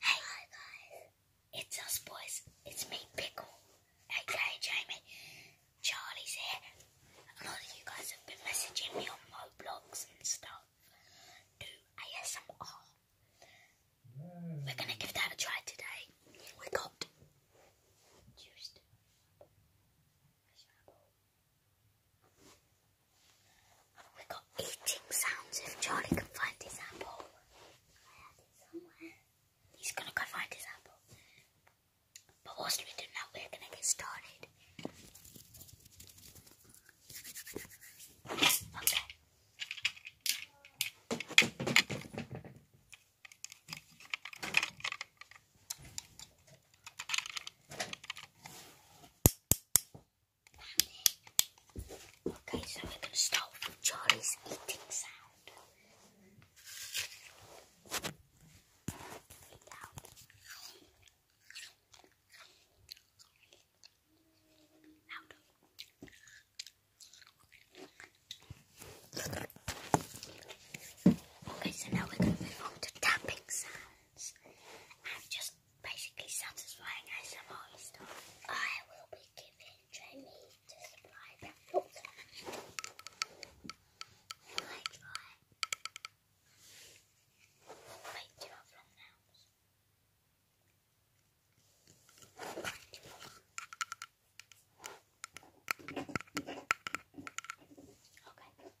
Hey, hi guys, it's us boys. It's me, Pickle, aka Jamie. Charlie's here. A lot of you guys have been messaging me on my blogs and stuff. Do ASMR. We're gonna give that a try today. We got juiced. We got eating sounds if Charlie can find his apple. He's gonna go find his apple. But whilst we do that, we're gonna get started. Okay. Okay, so we're going to start with Charlie's eating sound. Okay, so now we're going to move on to tapping sounds. just basically satisfying ASMR stuff, I will be giving Jamie to supply that water. I try. Wait, do you have long Okay.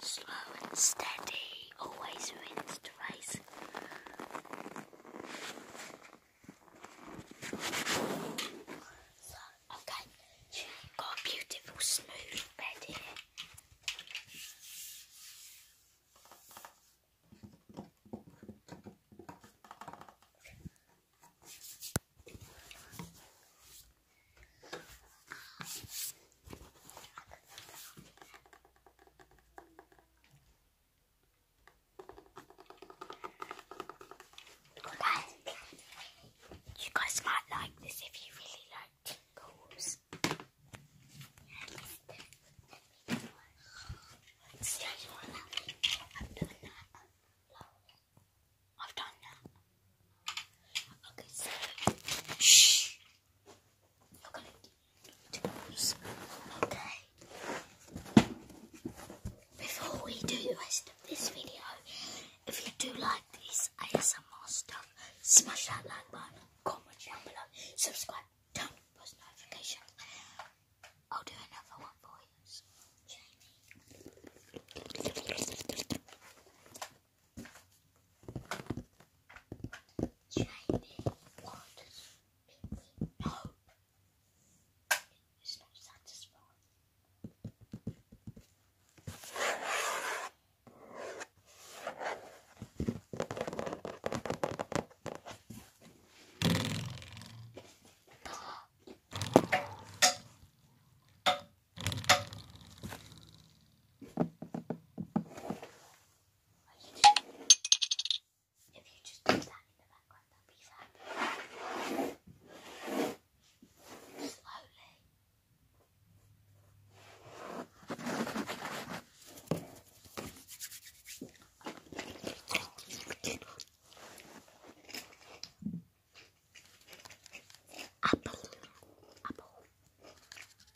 Slow and steady always wins the race. okay, got a beautiful smooth bed here guys, you guys might like this if you really like tingles. Let's do one I've done that. I've done that. Okay, so shh. Okay. Before we do the rest of this video, if you do like this ASMR stuff, smash that like button, comment down below, subscribe, turn on post notifications. I'll do another one for you, Jamie shiny waters make It's not satisfying. If you just put that in the background, that'd be fab. Slowly. Apple, apple,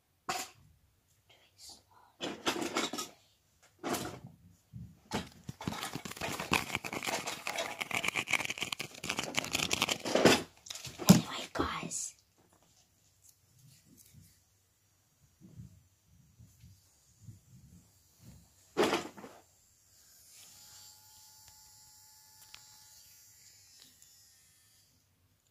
Anyway, oh guys.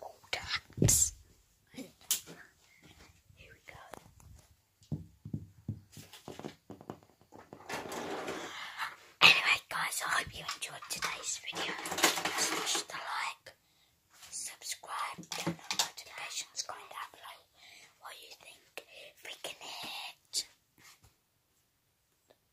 Botox. Here Anyway, guys, I hope you enjoyed today's video. Smash the like, subscribe, turn notifications going down below. What do you think? Freaking it.